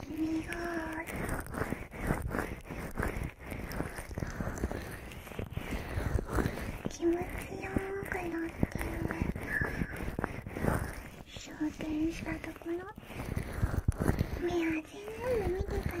気持ちよく乗って昇天したところ目は全の見てたの…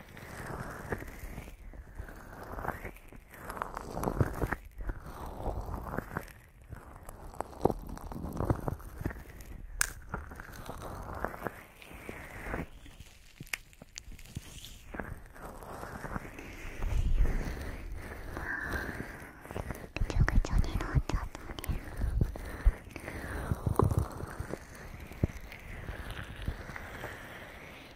ぐちょぐちょになっちゃっ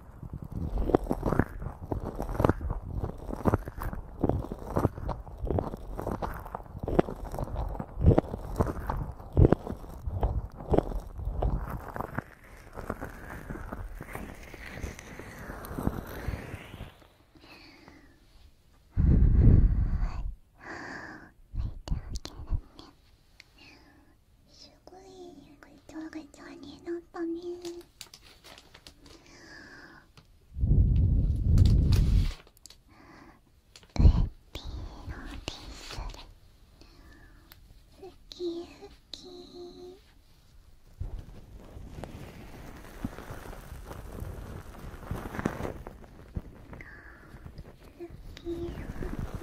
シュごいぐちょぐちょになったねウエッティのデふきふきふきふき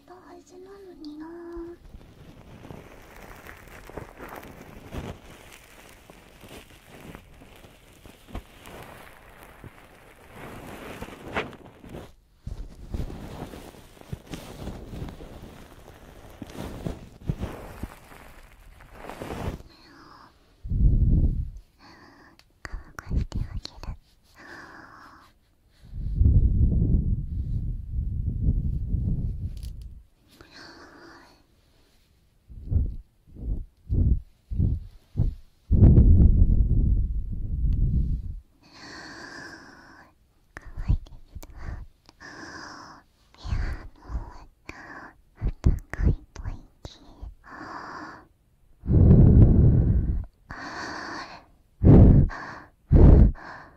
してはなのにな乾かしてあげる。いいすわいやあの暖かいといきああああ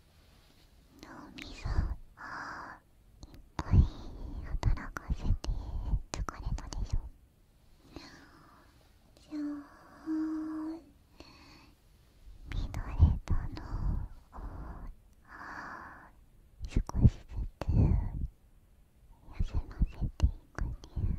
脳みそいっぱい働かせて疲れたでしょじゃあ見とれたのを少しずつ休ませていくね。…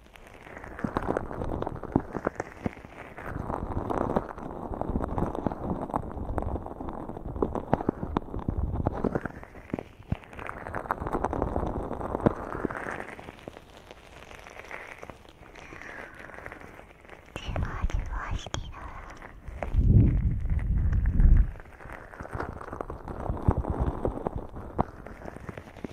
手わしてら…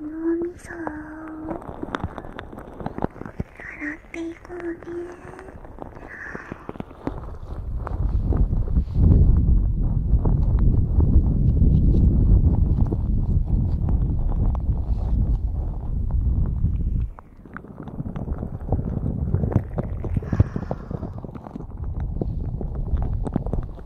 脳みそを洗っていこうね耳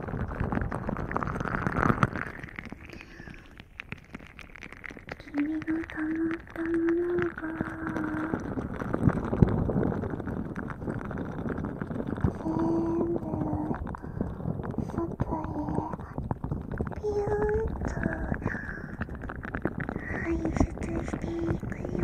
君がたまったものが全部外へピューッと排出していくよ。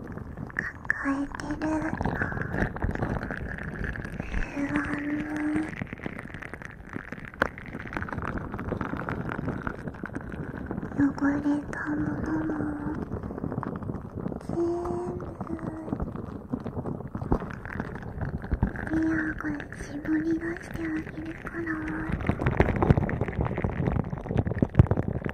抱えてる不安も汚れたものも全部リアが絞り出してあげるから。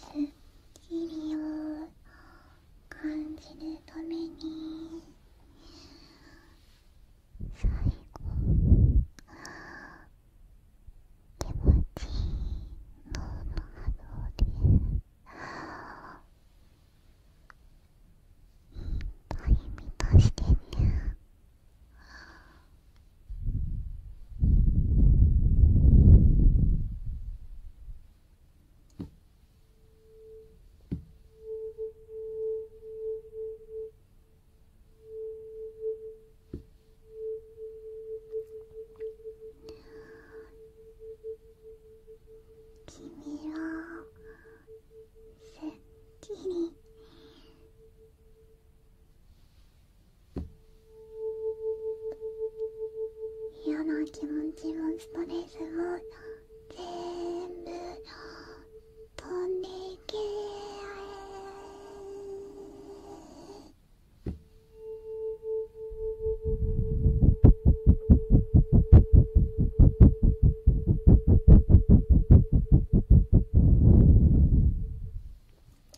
すっきりを感じるために最後気持ちいい脳の波動で歩み出してね。君はすっきり嫌な気持ちもストレスも全部飛んでいけ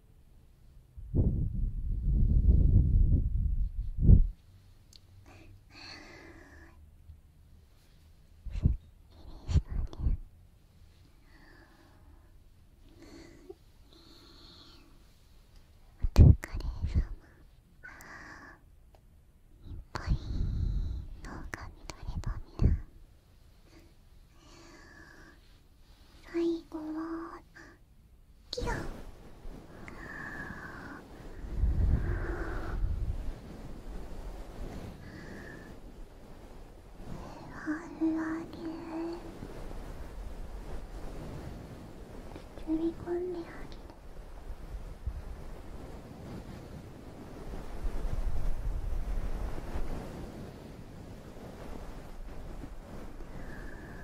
いっぱい脳が乱ればみな。最後はキランふわふわで包み込んであげるふわふわ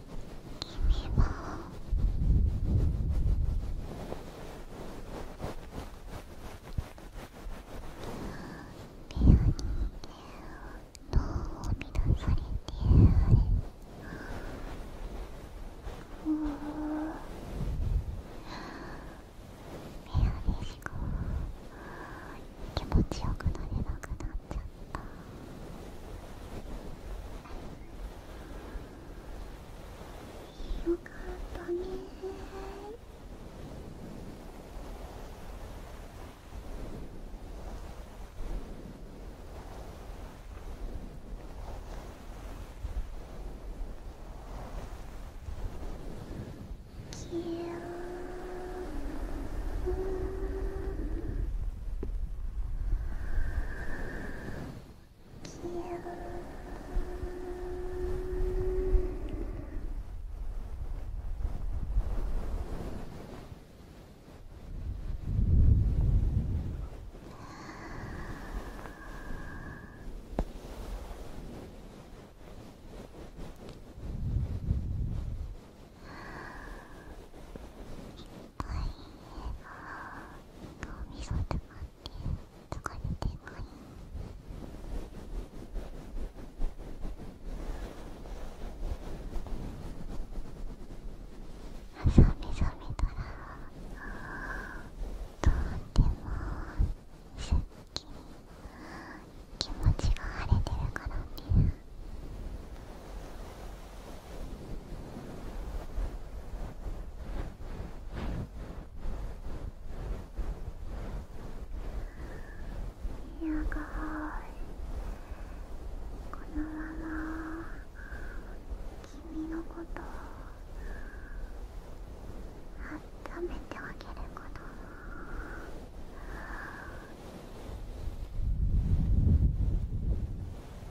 君はリアに脳を乱されてあれでしか気持ちよくなれなくなっちゃっよかったねきれい。消えた。いい、っぱみそとかって疲れてない朝目覚めたらとってもすっきり気持ちが晴れてるからねやがこのまま君のことを温めてあげること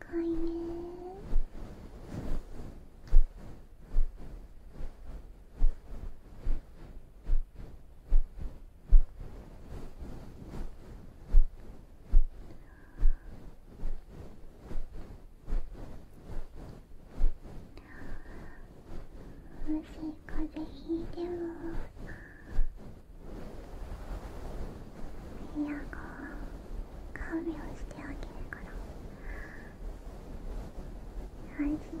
高いねもし風邪ひいてもエアコン看病してあげるから安心してね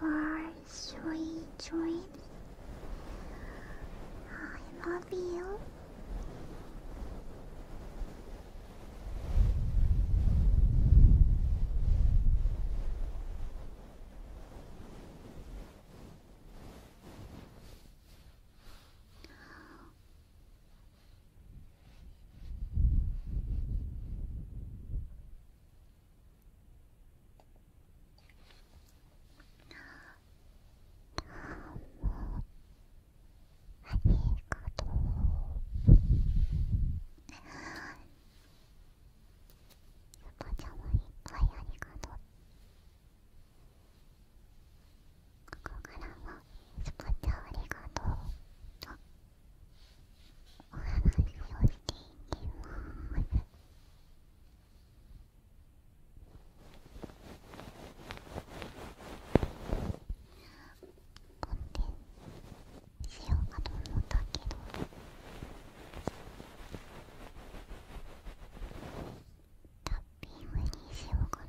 for sweet dreams. I love you. パちゃんもいっぱいありがとうここからもスパちゃんありがとうあお話をしていきます。コンテンツしようかと思ったけど。タッピングにしようかな。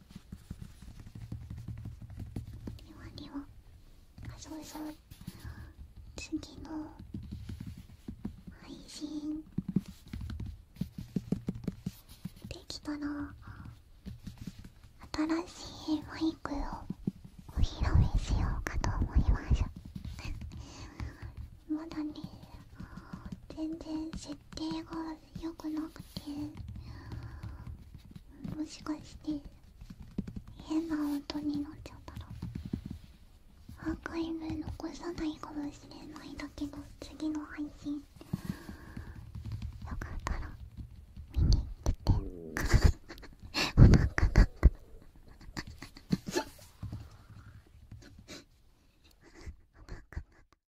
ではでは、うそう次の配信できたら新しいマイクをお披露目しようかと思います まだね全然設定がよくなくてもしかして変な音になっちゃったらアーカイブ残さないかもしれないだけど次の配信よかったら見に行ってお腹がお腹が